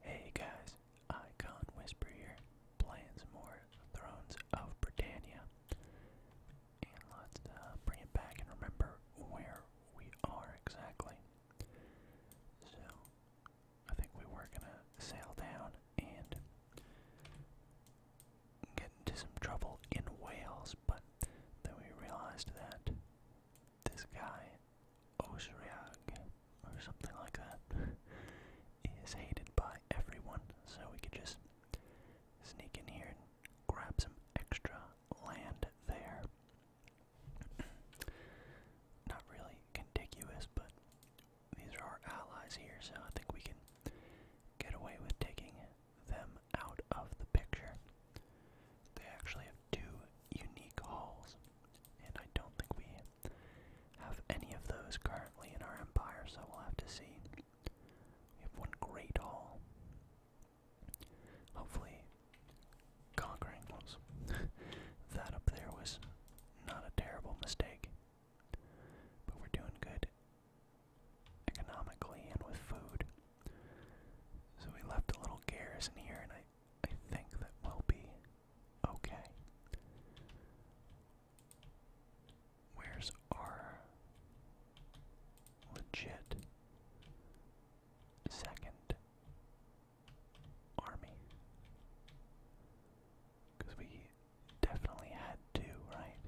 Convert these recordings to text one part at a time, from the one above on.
Hey guys, Icon Whisper plans playing some more Thrones of Britannia. And let's uh, bring it back and remember where we are exactly. So, I think we were gonna sail down and get into some trouble in Wales, but then we realized that this guy, Osriag, or something like that, is hated by everyone, so we could just sneak in here and grab some extra land there. Not really contiguous, but these are our allies here, so I think we can get away with taking them out of the picture. They actually two unique hauls, and I don't think we have any of those currently in our empire, so we'll have to see. We have one great haul. Hopefully, conquering those. that up there was not a terrible mistake, but we're doing good economically and with food. So we left a little garrison here, and I I think that we'll be okay. Where's our legit second army? Because we definitely had two, right?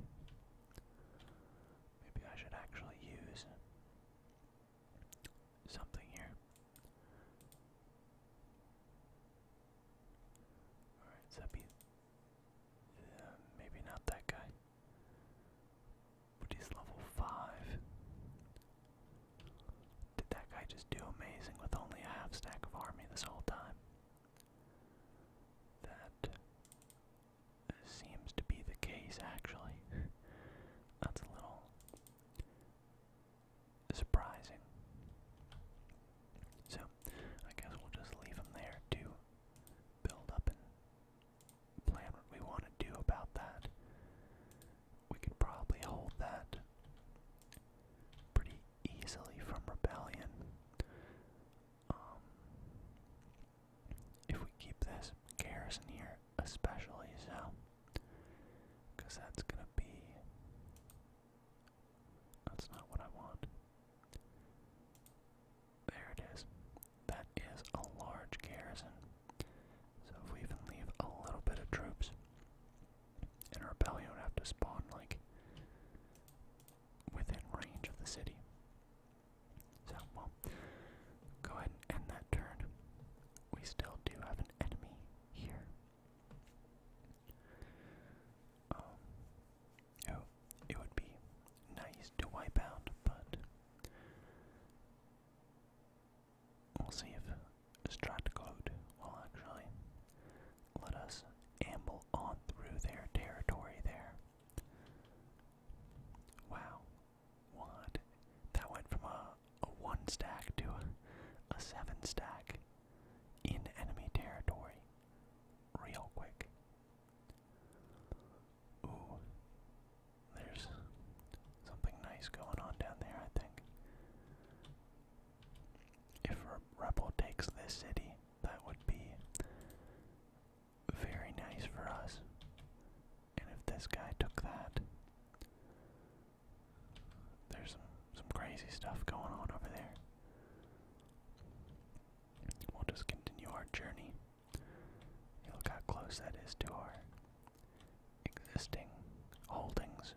Maybe I should actually use something here. Alright, so uh, maybe not that guy. But he's level 5. Did that guy just do amazing with only a half stack of army this whole time? That seems to be the case, actually. That's a little surprising. So, I guess we'll just leave them there to build up and plan what we want to do about that. We could probably hold that pretty easily from rebellion. Um, if we keep this garrison here, especially so. Because that's going to be. That's not what I want. There it is. That is a large garrison. So if we even leave a little bit of troops, and a rebellion would have to spawn, like, within range of the city. So, well, go ahead and end that turn. We still do have an enemy here. Um, oh, it would be nice to wipe out, but we'll see if Stratcode will actually let us amble on through their territory there. Wow. What? That went from a a one stack to a seven stack in enemy territory real quick. Ooh, there's something nice going on down there, I think. If a Rebel takes this city, that would be very nice for us. And if this guy took that, there's some crazy stuff going on over there. We'll just continue our journey. look how close that is to our existing holdings.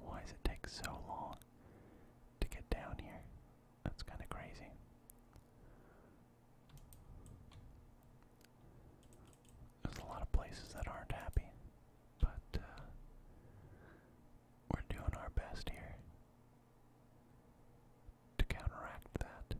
Why does it take so long to get down here? That's kind of crazy. There's a lot of places that aren't happy, but uh, we're doing our best here to counteract that.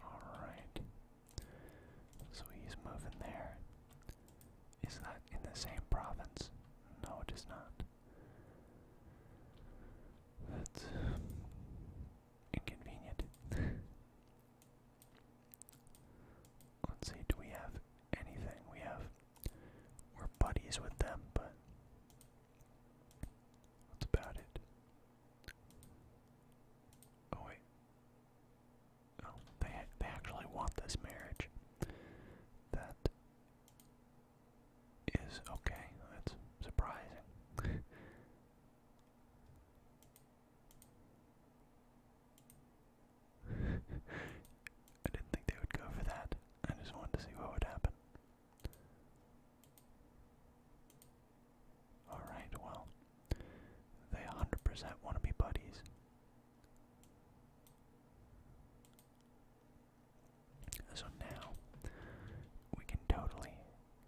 All right. So he's moving there. Is that in the same province? No, it is not. That's inconvenient. Let's see, do we have anything? We have. We're buddies with them, but. That's about it. Oh, wait oh, they they actually want this marriage. That is okay. That's surprising. I didn't think they would go for that. I just wanted to see what would happen. Alright, well, they 100% want to be buddies. So now we can totally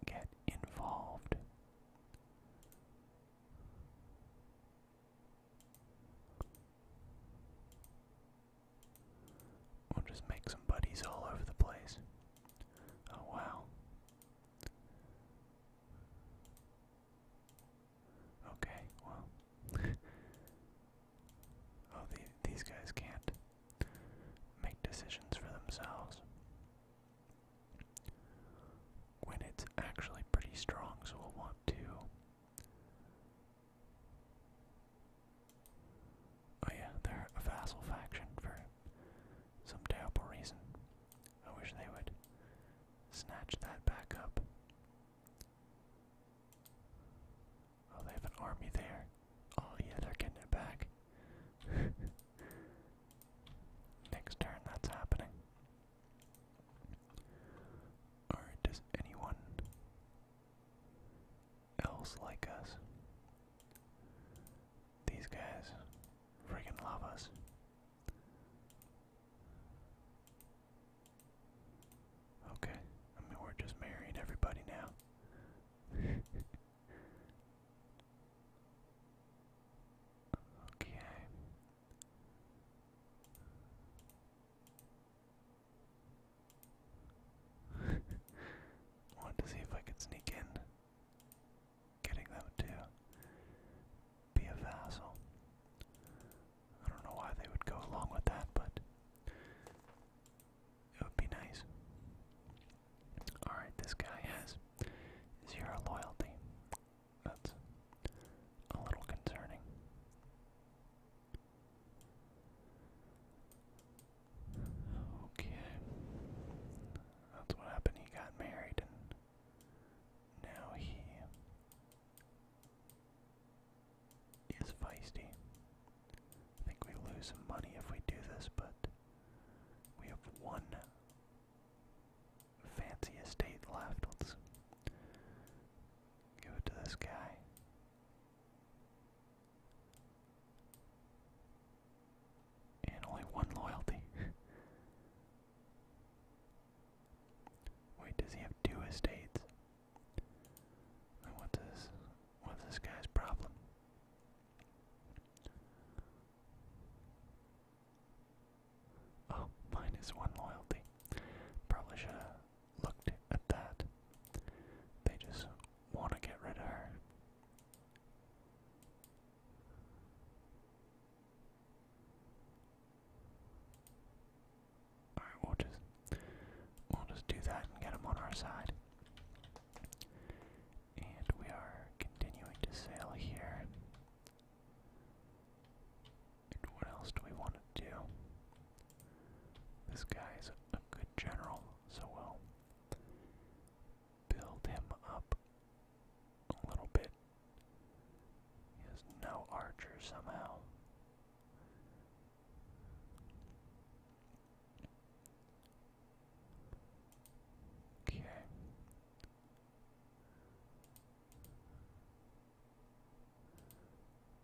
get involved. We'll just make some buddies all over the place. Oh, wow. Okay, well. oh, these guys can't make decisions for themselves. When it's actually pretty strong, so we'll want to. Oh, yeah, they're a vassal faction for some terrible reason. I wish they would snatch that back up. Oh, they have an army there. Oh, yeah, they're getting it back. Next turn, that's happening. Alright, does anyone else like us? These guys friggin' love us. Okay, I mean, we're just marrying everybody now. okay. Wanted to see if I could sneak in. Getting them to be a vassal. I don't know why they would go along with that, but it would be nice. Alright, this guy has zero loyalty. That's a little concerning. Okay. That's what happened. He got married and now he is feisty. I think we lose money if we do this, but we have one fancy estate left. Let's give it to this guy. And only one loyalty. Wait, does he have two estates? what's this? What's this guy's problem? Oh, one loyalty. Probably should have looked at that. They just want to get rid of her. Alright, we'll just we'll just do that and get them on our side. And we are continuing to sail here. what else do we want to do? This guy's a good general, so we'll build him up a little bit he has no archer somehow. Okay.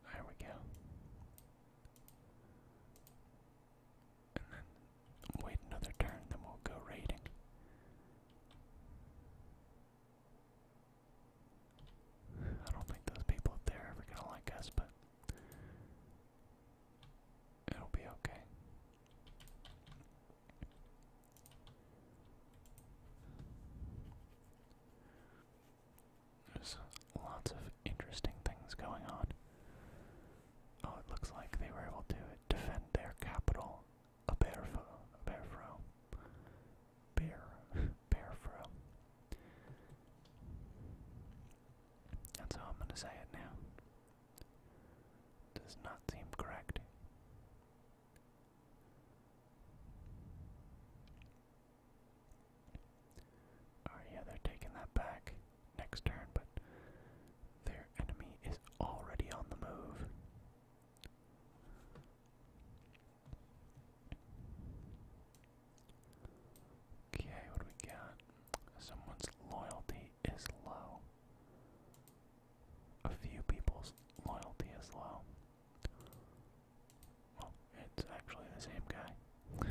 There we go. And then wait another turn, then we'll go raiding. I don't think those people there ever gonna like us, but it'll be okay. There's lots of interesting things going on. Oh, it looks like they were able to defend their capital, Aberfo, Aberfro, bear bear fro. That's how I'm gonna say it now. Does not seem correct. Alright, yeah, they're taking that back next turn, but their enemy is already on the move. Okay, what we got? Someone's loyalty is low. A few people's loyalty is low. Well, it's actually the same guy.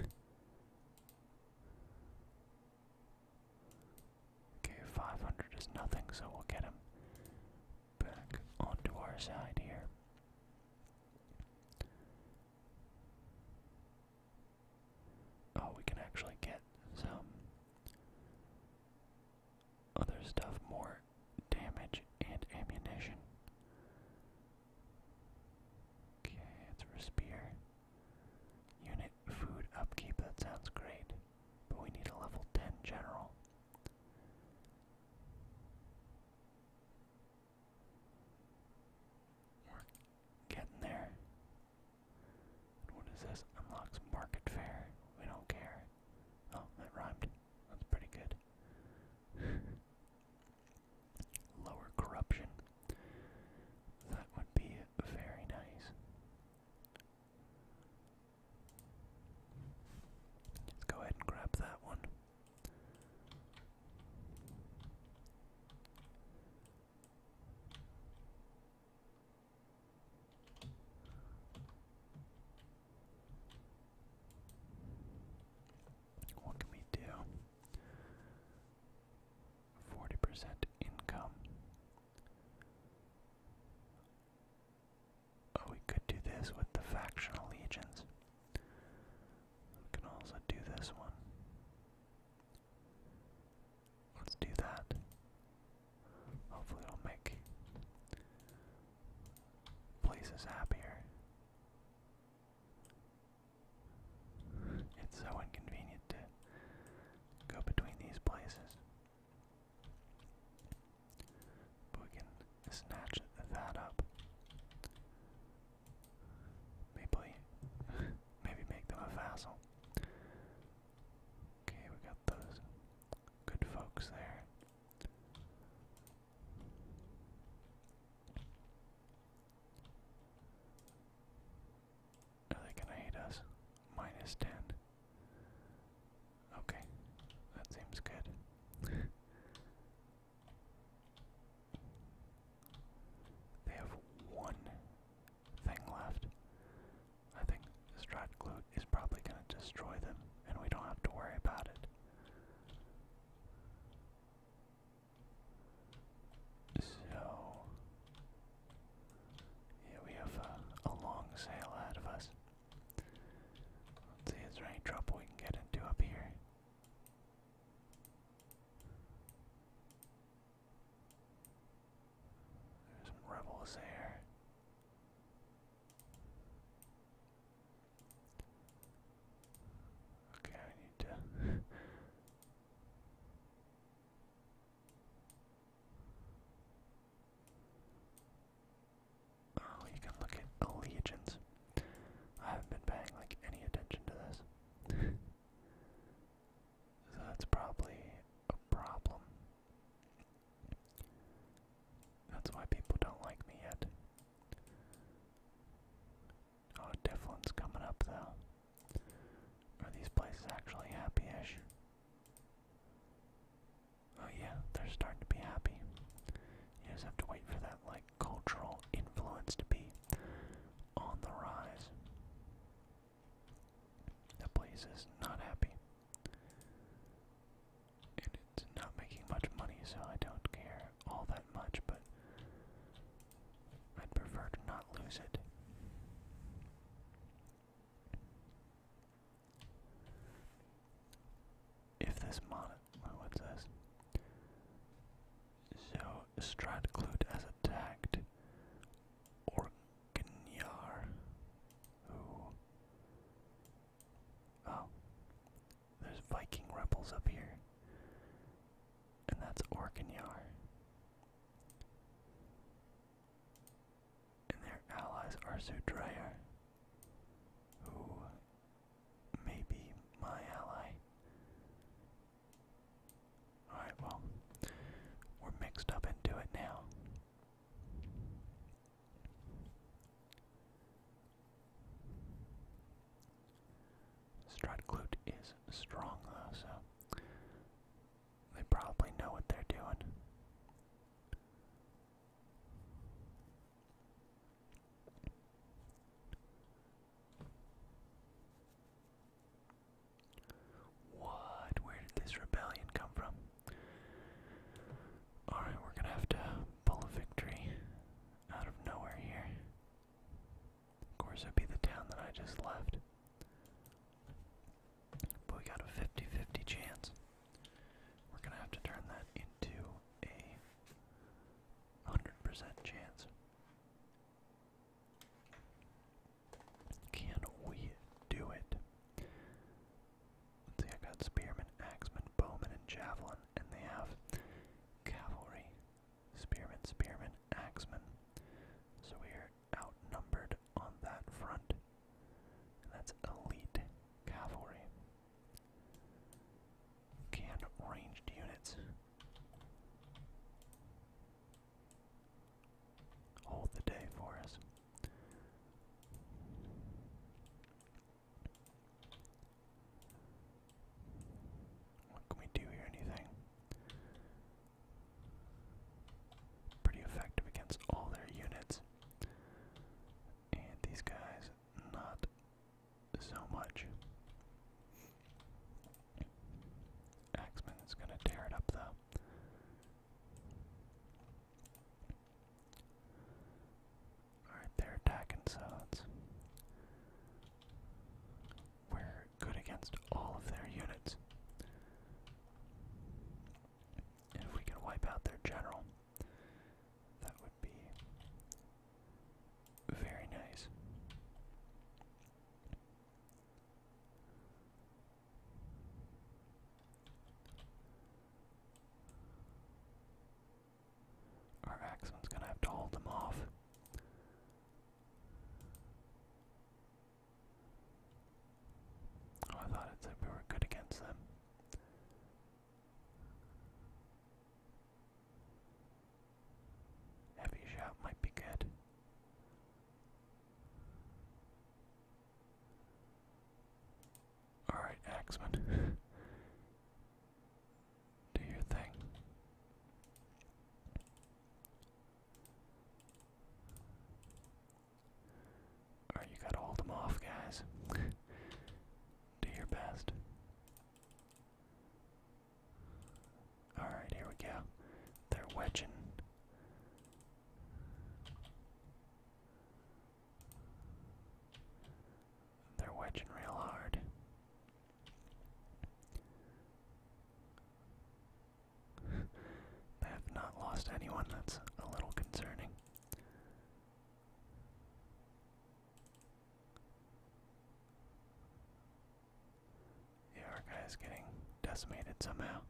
okay, 500 is nothing, so we'll get him back onto our side here. Oh, we can actually get some other stuff, more damage and ammunition. Okay, it's for spear. Unit food upkeep, that sounds great. But we need a level 10 general we getting there. What is this? Unlocks market fair. We don't care. Oh, that rhymed. That's pretty good. Lower corruption. That would be very nice. Let's go ahead and grab that one. What can we do? Forty percent income. Oh, we could do this with the factional legions. We can also do this one. Let's do that. Hopefully, it'll make places happier. It's so inconvenient to go between these places. But we can snatch that up. Maybe, maybe make them a vassal. Okay, we got those good folks there. Are they gonna hate us? Minus ten. Okay, that seems good. They have one thing left. I think this is probably going to destroy them, and we don't have to worry about it. So, yeah, we have a, long sail ahead of us see, is there any trouble we can get into up here? There's some rebels there. Okay, I need to. Oh, you can look at allegiance. I haven't been paying like any attention to this. that's probably a problem. That's why people don't like me yet. Oh, Difflin's coming up though. Are these places actually happy-ish? Oh yeah, they're starting to be happy. You just have to wait for that cultural influence to be on the rise. The place is not happy. And it's not making much money, so I don't care all that much, but I'd prefer to not lose it. If this mod so, Stratclute has attacked Orknyar, who... Oh, there's Viking rebels up here, and that's Orknyar. And their allies are Sudreyar, who maybe my ally. Alright, well, we're mixed up into it now. Strutglute is strong though, so they probably know what they're doing. What? Where did this rebellion come from? Alright, we're gonna have to pull a victory out of nowhere here. Of course, it'd be the town that I just left. But we got a 50 chance. We're gonna have to turn that into a 100% chance. Can we do it? see, I got spearmen, axemen, bowmen, and javelin, and they have cavalry, spearmen, spearmen, axemen. So we are outnumbered on that front. And that's elite cavalry. Can ranged units hold the day for us? What can we do here? Anything? Pretty effective against all their units. And these guys, not so much. Axeman is gonna tear it up though. Alright, they're attacking sods. We're good against all of their units. if we can wipe out their general, that very nice. Our Axon's gonna have to hold them off. Oh, I thought it said we were good against them. Heavy shot might be good. Alright, Axeman. Do your thing. Alright, you gotta them off, guys. Do your best. Alright, here we go. They're wedging. They're wedging real hard. they have not lost anyone, that's a little concerning. Our guy is getting decimated somehow.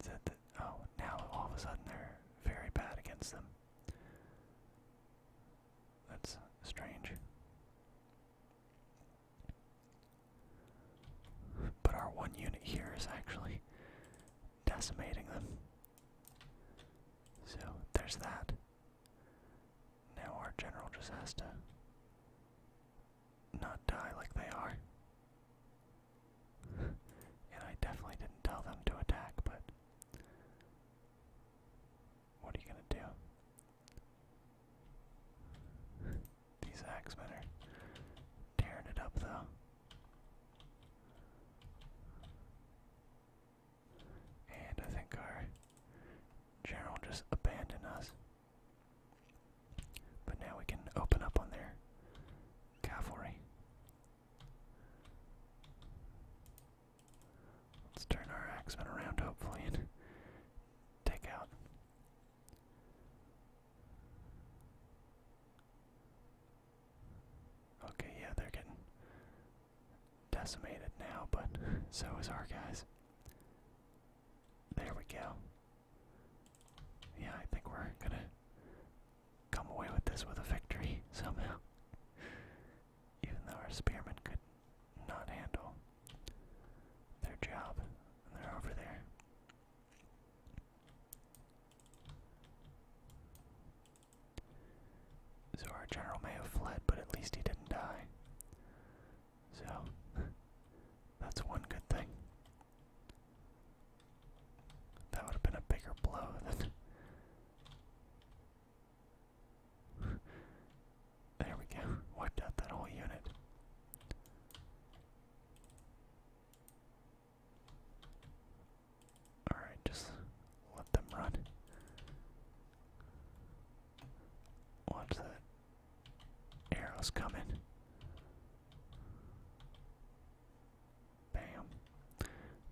Is that oh, now all of a sudden they're very bad against them. That's strange. But our one unit here is actually decimating them. So there's that. Now our general just has to not die like they are. and I definitely didn't tell them to attack, but what are you gonna do? These axemen are tearing it up though. And I think our general just abandoned us. But now we can open up on their cavalry. Let's turn our axemen around, hopefully, take out. Okay, yeah, they're getting decimated now, but so is our guys. There we go. Yeah, I think we're gonna come away with this with a victory somehow. Even though our spearmen could not handle their job, and they're over there. So our general may have fled, but at least he didn't die. So, that's one good thing. That would have been a bigger blow than. there we go. Wiped out that whole unit. Alright, just let them run. Watch that. Arrow's coming. Bam.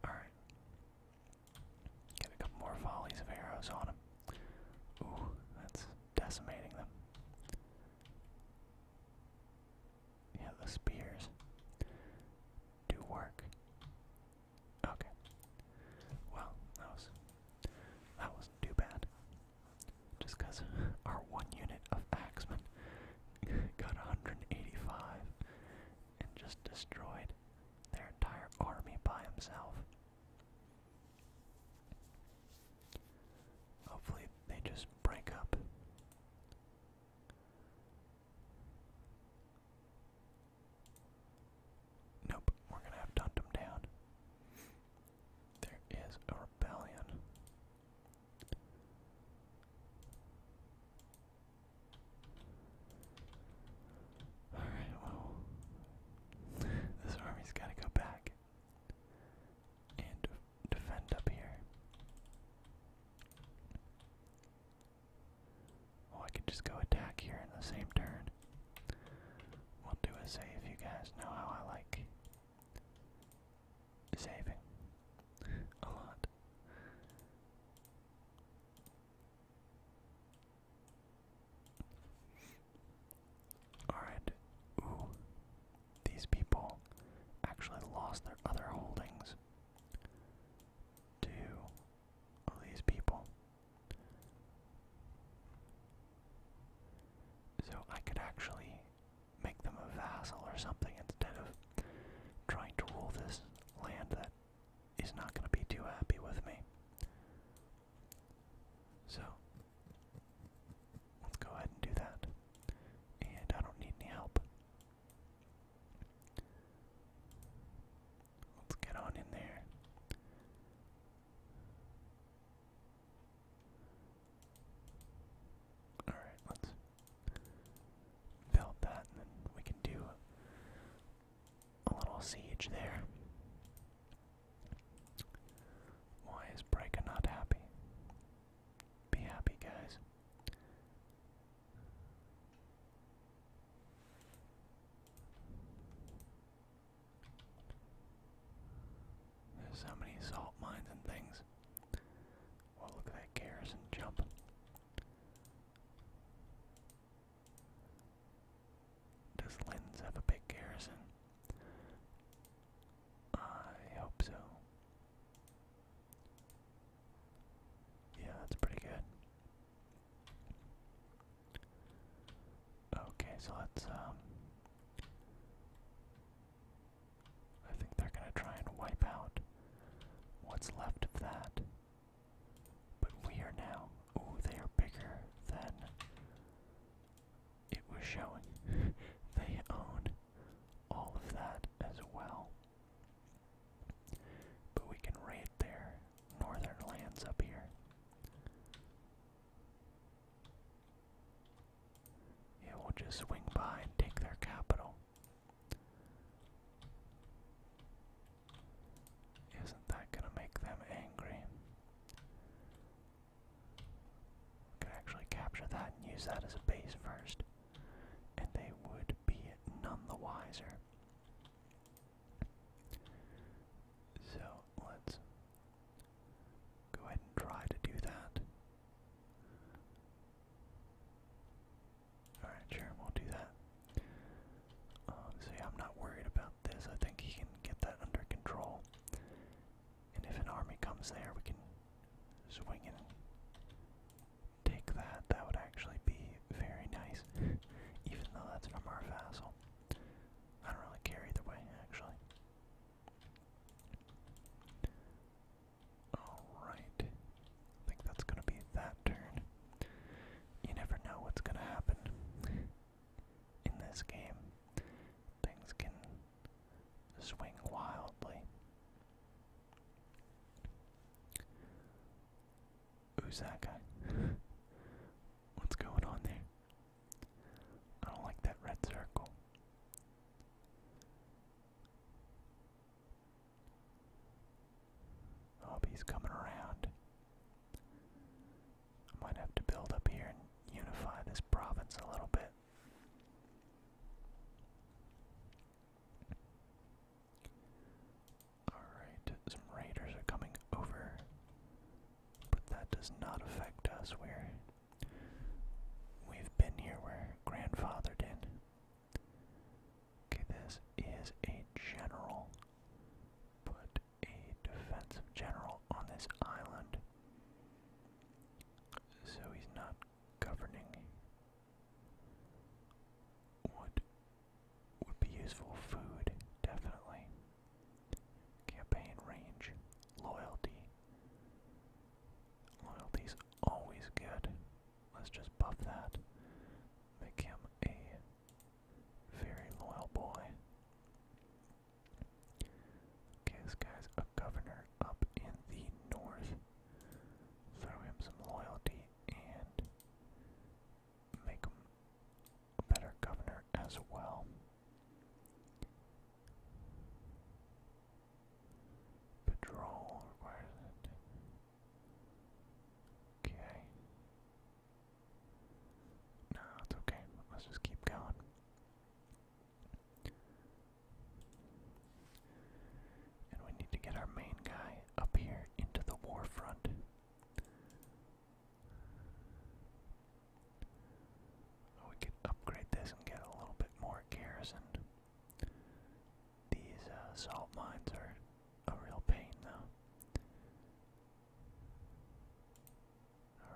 Alright. Get a couple more volleys of arrows on him. Ooh, that's decimating them. Yeah, the spears do work. Okay. Well, that was that wasn't too bad. Just because our one unit of axemen got 185 and just destroyed their entire army by himself. Hopefully they just break up. Nope, we're gonna have to down. There is a rebellion. Alright, well, this army's gotta go back and defend up here. Oh, I can just go attack here in the same turn. We'll do a save. You guys know how I like saving a lot. Alright. Ooh. These people actually lost their other holdings to these people. So I could actually make them a vassal or something instead of trying to rule this land that is not going to be too happy with me. So let's go ahead and do that. And I don't need any help. Let's get on in there. Alright, let's build that and then we can do a little siege there. Why is Breaker not happy? Be happy, guys. There's so many salt mines and things. Well, look at that garrison jump. Does Linz have a big garrison? I hope so. Yeah, that's pretty good. Okay, so let's um, I think they're gonna try and wipe out what's left of that. But we are now oh, they are bigger than it was showing. they own all of that as well. But we can raid there northern lands up here. Yeah, will just swing by and take their capital. Isn't that gonna make them angry? could actually capture that and use that as a base first, and they would be none the wiser. So let's go ahead and try to do that. Alright, sure, we'll do that. Um, I'm not worried about this. I think he can get that under control. And if an army comes there, we can swing and take that. That would actually be very nice, even though that's from our vassal. I don't really care either way, actually. Alright. I think that's gonna be that turn. You never know what's gonna happen in this game. Things can swing wildly. Uzaka. What's going on there? I don't like that red circle. Oh, he's coming around. I might have to build up here and unify this province a little bit. Alright, some raiders are coming over but that does not affect us. We're, we've been here, where grandfather did. in. Okay, this is a general. Put a defensive general on this island. So he's not governing. What would be useful? Food, definitely. Campaign range. Loyalty. Loyalty's always good. Let's just buff that. Make him a very loyal boy. Okay, this guy's a governor up in the north. Throw him some loyalty and make him a better governor as well. Patrol requires it. Okay. No, it's okay. Let's just keep going. And we need to get our main guy up here into the war front. Oh, we could upgrade this and get a little bit more garrison. These uh, salt mines are a real pain, though.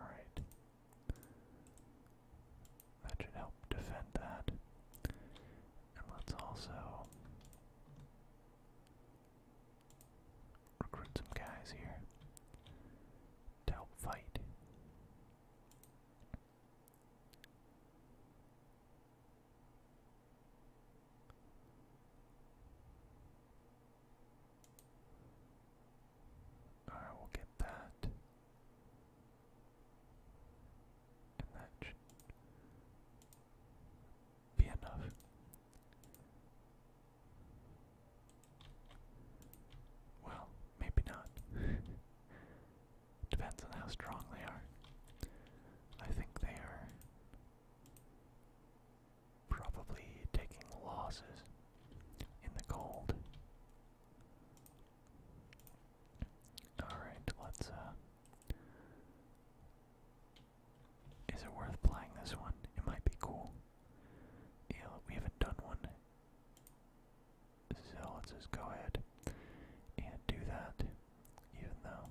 Alright. That should help defend that. And let's also recruit some guys here to help fight. Alright, we'll get that. And that should be enough. Well, maybe not. Depends on how strong they are. I think they are probably taking losses in the cold. Alright, let's uh, is it worth playing this one? It might be cool. Yeah, we haven't done one. So let's just go ahead and do that, even though.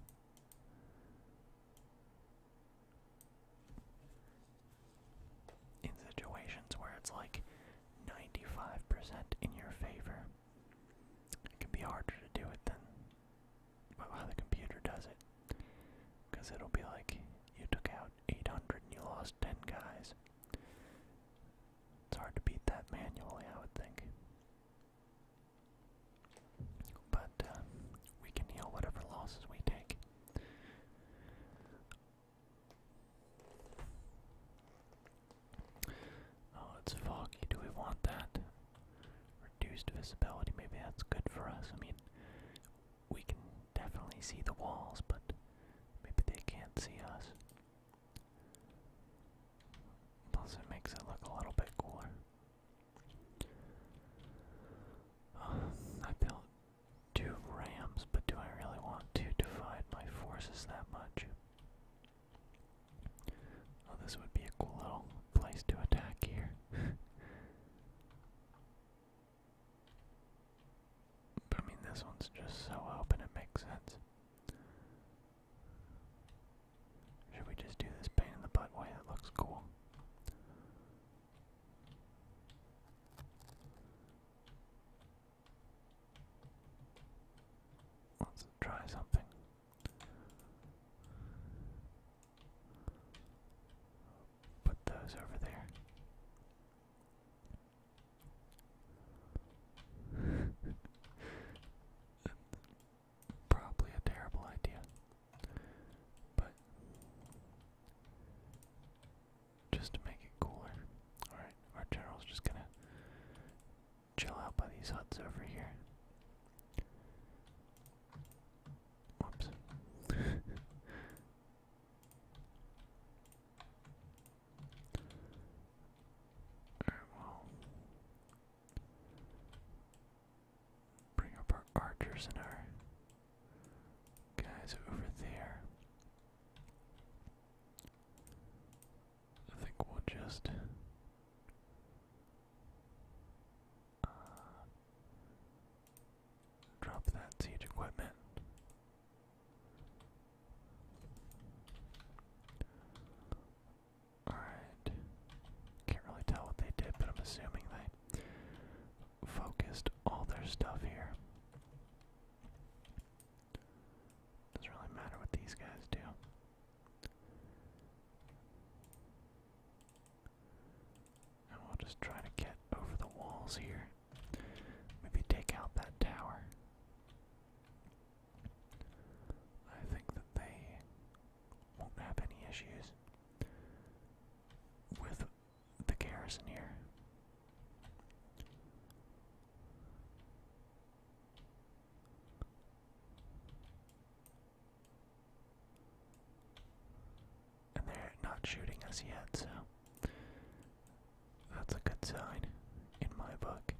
In situations where it's like 95% in your favor, it can be harder to do it than how the computer does it. Because it'll be like you took out 800 and you lost 10 guys. It's hard to beat that manually, I would think. But uh, we can heal whatever losses we take. Oh, it's foggy. Do we want that? Reduced visibility. Maybe that's good for us. I mean, we can definitely see the walls, but maybe they can't see us. Plus, it makes it look a little bit cooler. I built two rams, but do I really want to divide my forces that much? Oh, this would be a cool little place to attack here. I mean, this one's just so open, it makes sense. Should we just do this pain in the butt way? That looks cool. Let's try something. Put those over there. Probably a terrible idea, but just to make it cooler. Alright, our general's just gonna chill out by these huts over here. Whoops. Alright, well. Bring up our archers and our guys over there. I think we'll just uh, Drop that siege equipment. Alright. Can't really tell what they did, but I'm assuming they focused all their stuff here. Doesn't really matter what these guys do. And we'll just try to get over the walls here. Maybe take out that tower. I think that they won't have any issues with the garrison here and they're not shooting us yet, so that's a good sign in my book.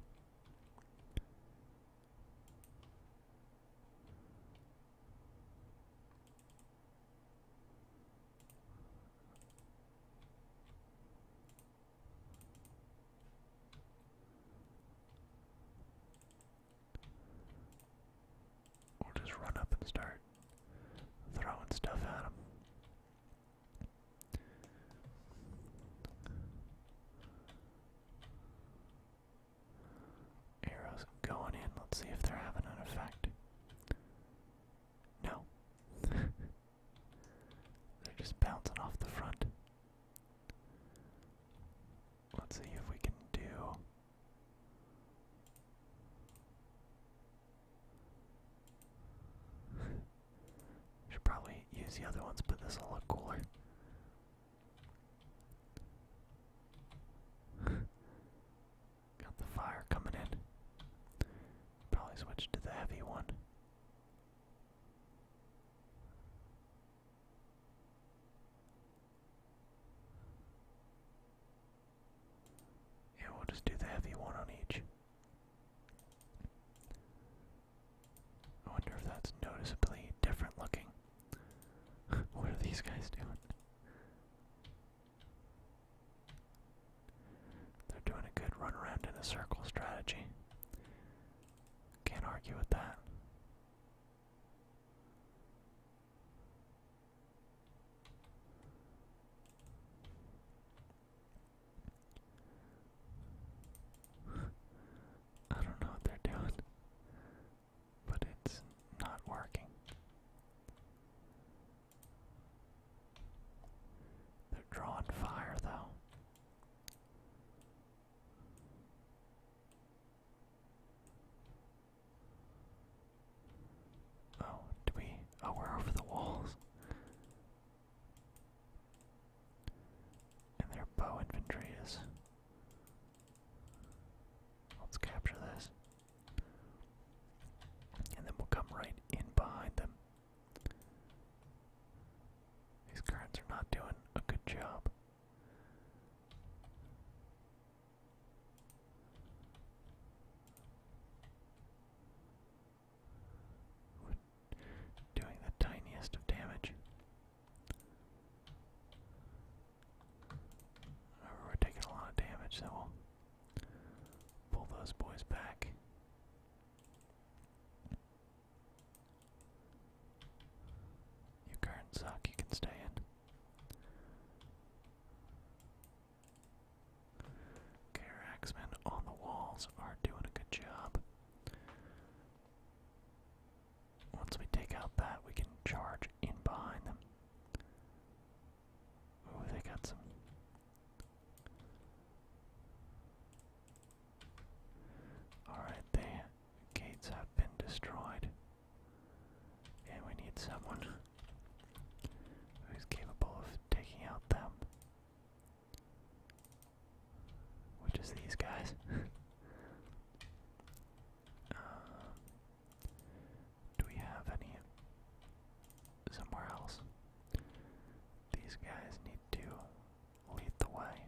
We'll just run up and start throwing stuff at him. Arrows going in. Let's see if they're having an effect. No. they're just bouncing off the front. Let's see if we can do. Should probably use the other ones, but this will look cooler. Got the fire coming in. Probably switch to the heavy one. Yeah, we'll just do the heavy one on each. I wonder if that's noticeably different looking. what are these guys doing? They're doing a good run around in a circle strategy. Can't argue with that. I don't know what they're doing, but it's not working. They're drawing fire, though. Oh, do we? Oh, we're over the walls. And their bow infantry is. Let's capture this. And then we'll come right in behind them. These cards are not doing a good job. We're doing the tiniest of damage. However, we're taking a lot of damage, so will pull those boys back. You current suck, you can stay in. Okay, our axemen on the walls are doing a good job. Once we take out that, we can charge in behind them. Ooh, they got some. Alright, the gates have been destroyed. And we need someone who's capable of taking out them. Which is these guys. Uh, do we have any somewhere else? These guys need to lead the way.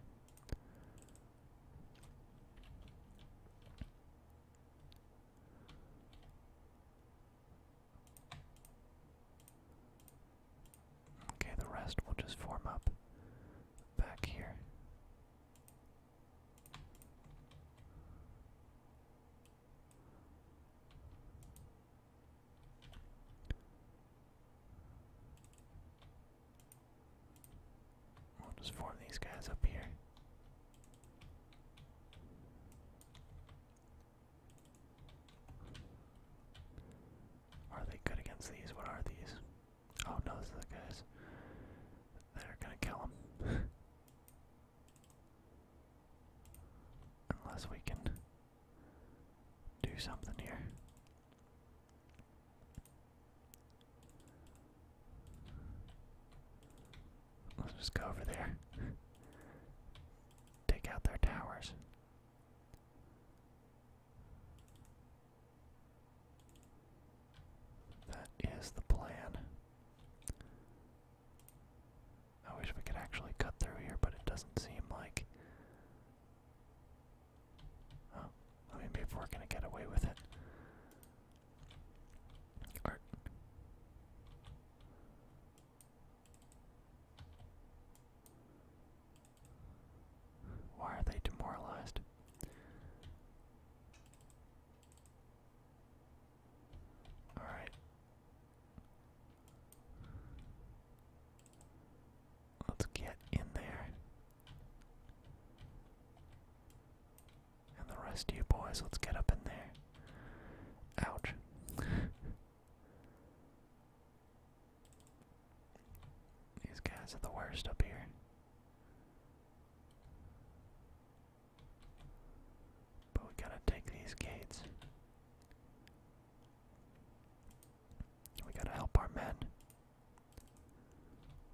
Okay, the rest will just form up back here. We'll just form these guys up here. Are they good against these? What are these? Oh no, those are the guys. They're gonna kill them Unless we can do something here. Let's just go over there. take out their towers. That is the plan. I wish we could actually cut through here, but it doesn't seem like. Oh, I mean, maybe we're gonna get away with it. Why are they demoralized? Alright. Let's get in there. And the rest of you boys, let's get up in there. Ouch. These guys are the worst up here. But we gotta take these gates. We gotta help our men.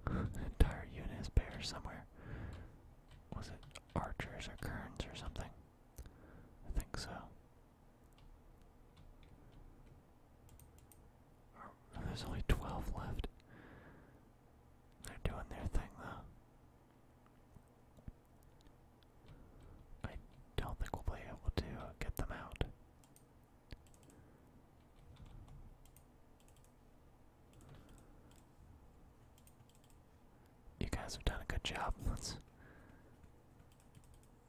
entire unit is bare somewhere. Was it archers or kerns or something? I think so. Oh, there's only 12 left. They're doing their thing though. I don't think we'll be able to uh, get them out. You guys have done a good job. Let's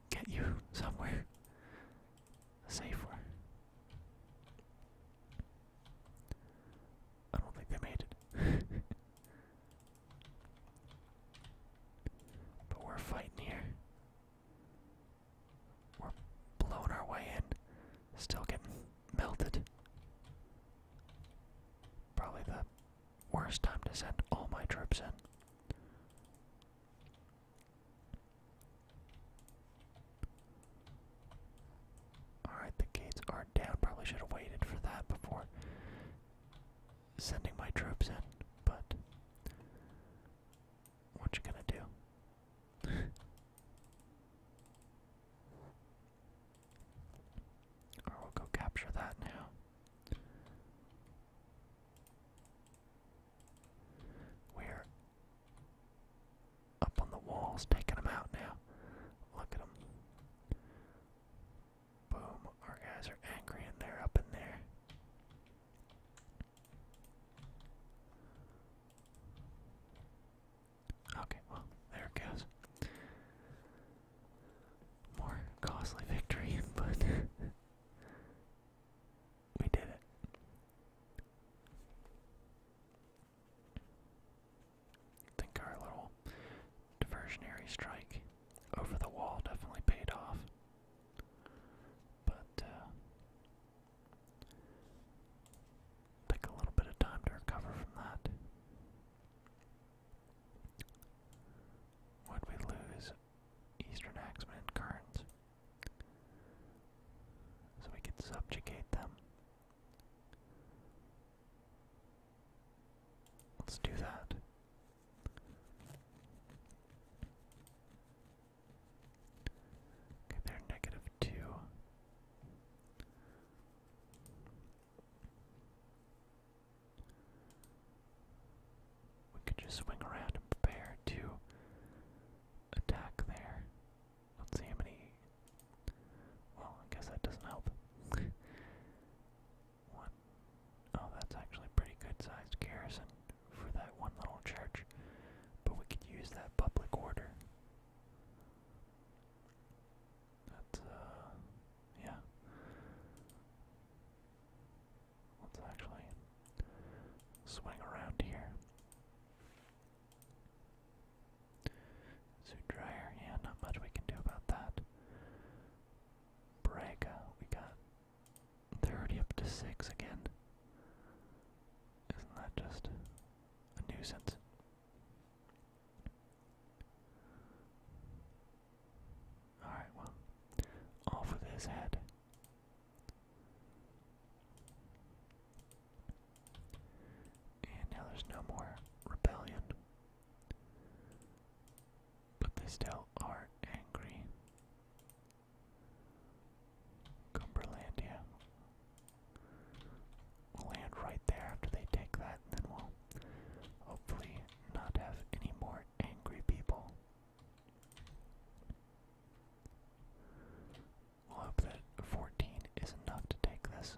get you somewhere safer. I don't think they made it. but we're fighting here. We're blowing our way in. Still getting melted. Probably the Worst time to send all my troops in. Alright, the gates are down. Probably should have waited for that before sending my troops in, but what you gonna do? or we'll go capture that now. We're up on the walls, taking them out now. Look at them. Boom, our guys are angry and they're up in there. Okay, well, there it goes. More costly victory, but we did it. think our little diversionary strike over the wall definitely paid off. But uh, take a little bit of time to recover from that. What we lose Eastern Axemen and Karns. So we could subjugate them. Let's do that. Okay, they're negative two. We could just swing around and prepare to attack there. Let's see many. Well, I guess that doesn't help. Oh, that's actually pretty good sized garrison for that one little church. But we could use that public order. That's, uh, yeah. Let's actually swing around here. Suit dryer, yeah, not much we can do about that. Braga, we got 30 up to 6 again. Isn't that just a nuisance? Alright, well, off with his head. And now there's no more rebellion. But they still are angry. Cumberlandia. land right there after they take that, and then we'll hopefully not have any more angry people. We'll hope that 14 is enough to take this.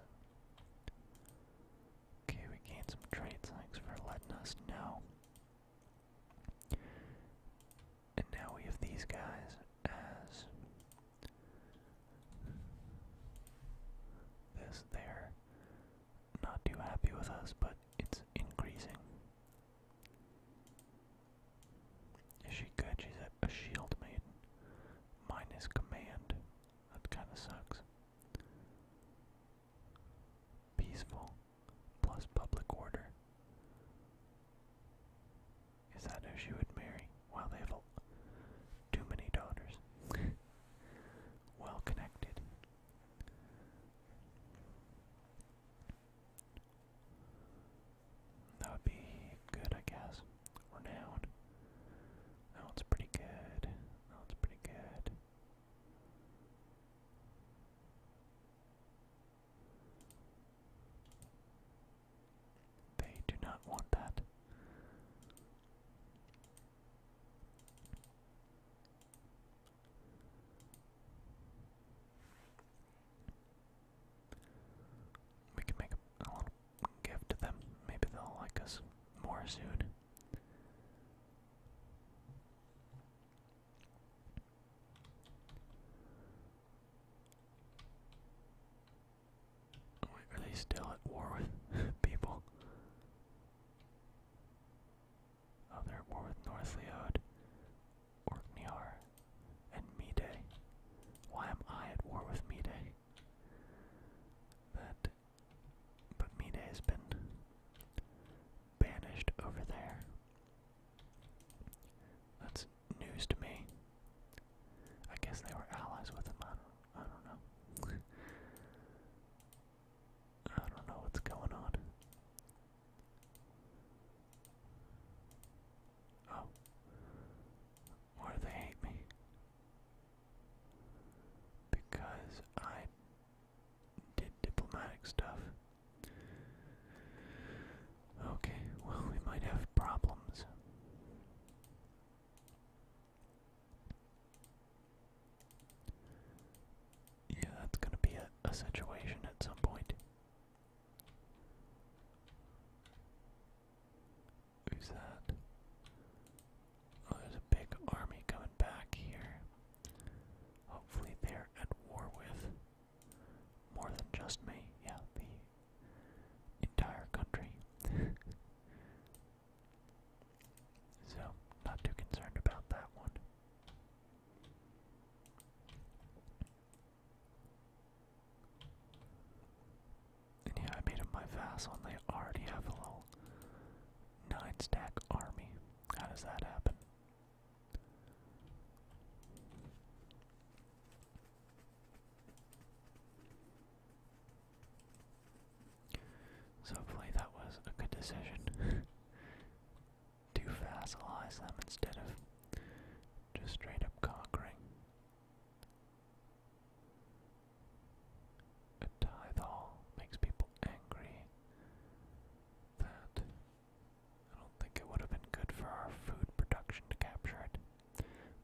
Okay, we gained some traits. Thanks for letting us know. And now we have these guys as this. They're not too happy with us, but it's increasing. Is she good? She's a, a shield maiden. command. That kind of sucks. Peaceful plus public order. Is that who she would marry? Wow, they too many daughters. well connected. That would be good, I guess. Renown. That pretty good. That pretty good. They do not want that. We can make a, little gift to them. Maybe they'll like us more soon. Wait, are they still at war with people? Oh, they war with North Northliod, Orkneyar, and Mide. Why am I at war with Mide? That, but Mide has been banished over there. That's news to me. I guess they were allies with him. I I don't know. I don't know what's going on. Oh. Why they hate me? Because I did diplomatic stuff. Okay, well, we might have problems. Yeah, that's gonna be a, situation at some point. Who's that? Oh, there's a big army coming back here. Hopefully they're at war with more than just me. Yeah, the entire country. so, not too concerned about that one yeah, I made them my vassal, and they already have a little nine stack army. How does that happen? So hopefully that was a good decision. to facilize them instead of just straight up conquering. A tithe makes people angry. That I don't think it would have been good for our food production to capture it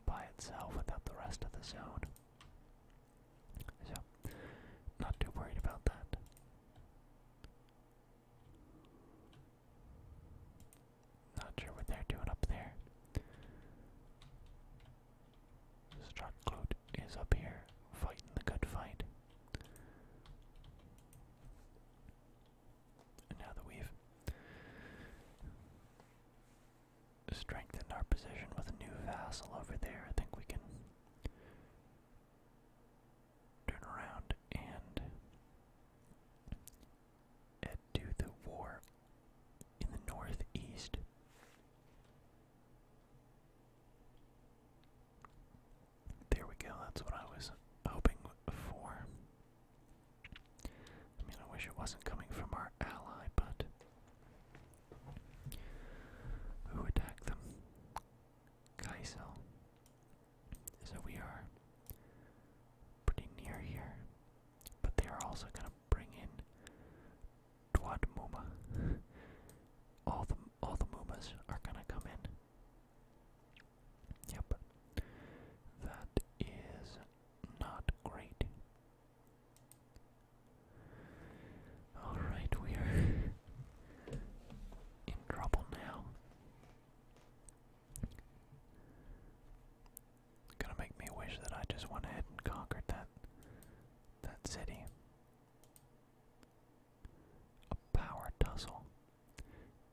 by itself without the rest of the zone. So, not too worried about that. Not sure what they're doing up there. Struckloot is up here fighting the good fight. And now that we've strengthened our position with a new vassal over there, I think we can turn around and do the war in the northeast. There we go, that's what I was hoping for. I mean, I wish it wasn't coming from our ally, but who attacked them? Kaisel. So we are pretty near here. But they are also going to bring in Dwad Muma. all the all the Mumas are going to come in. Yep. That is not great. Alright, we are in trouble now. Gonna make me wish that I just went ahead and conquered that that city. A power tussle.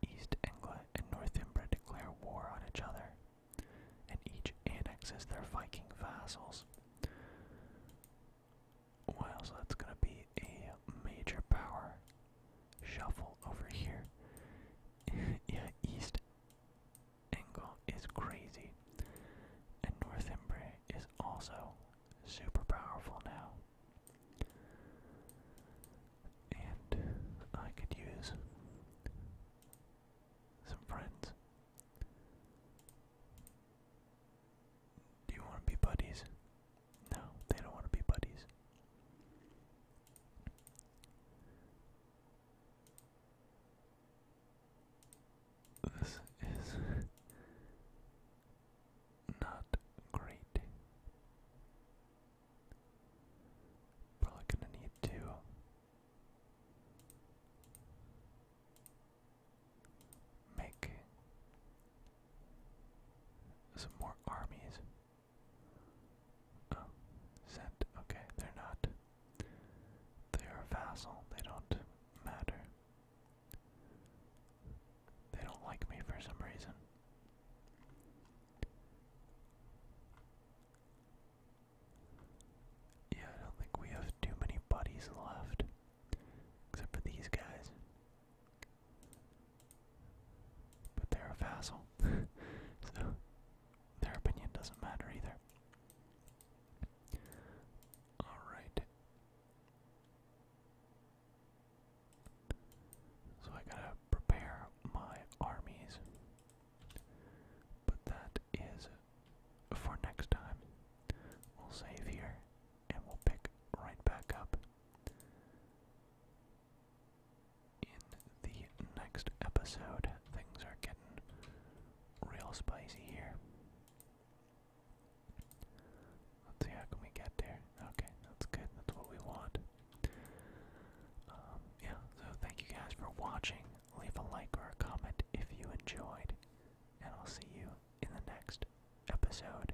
East Anglia and Northumbria declare war on each other, and each annexes their Viking vassals. Well, so that's gonna be a major power shuffle over here. yeah, east angle is crazy. And North Northumbria is also super powerful now. And I could use some friends. Do you want to be buddies? No, they don't want to be buddies. This is not great. Probably gonna need to make some more armies. Oh, sent. Okay, they're not. They are vassal. They don't matter. They don't like me for some reason. Yeah, I don't think we have too many buddies left. Except for these guys. But they're a vassal, so their opinion doesn't matter either. Alright. So I gotta prepare my armies. But that is for next time. We'll save here and we'll pick right back up in the next episode. Things are getting real spicy here. Let's see how can we get there. Okay, that's good. That's what we want. Um, yeah, so thank you guys for watching. Leave a like or a comment if you enjoyed, and I'll see you in the next episode.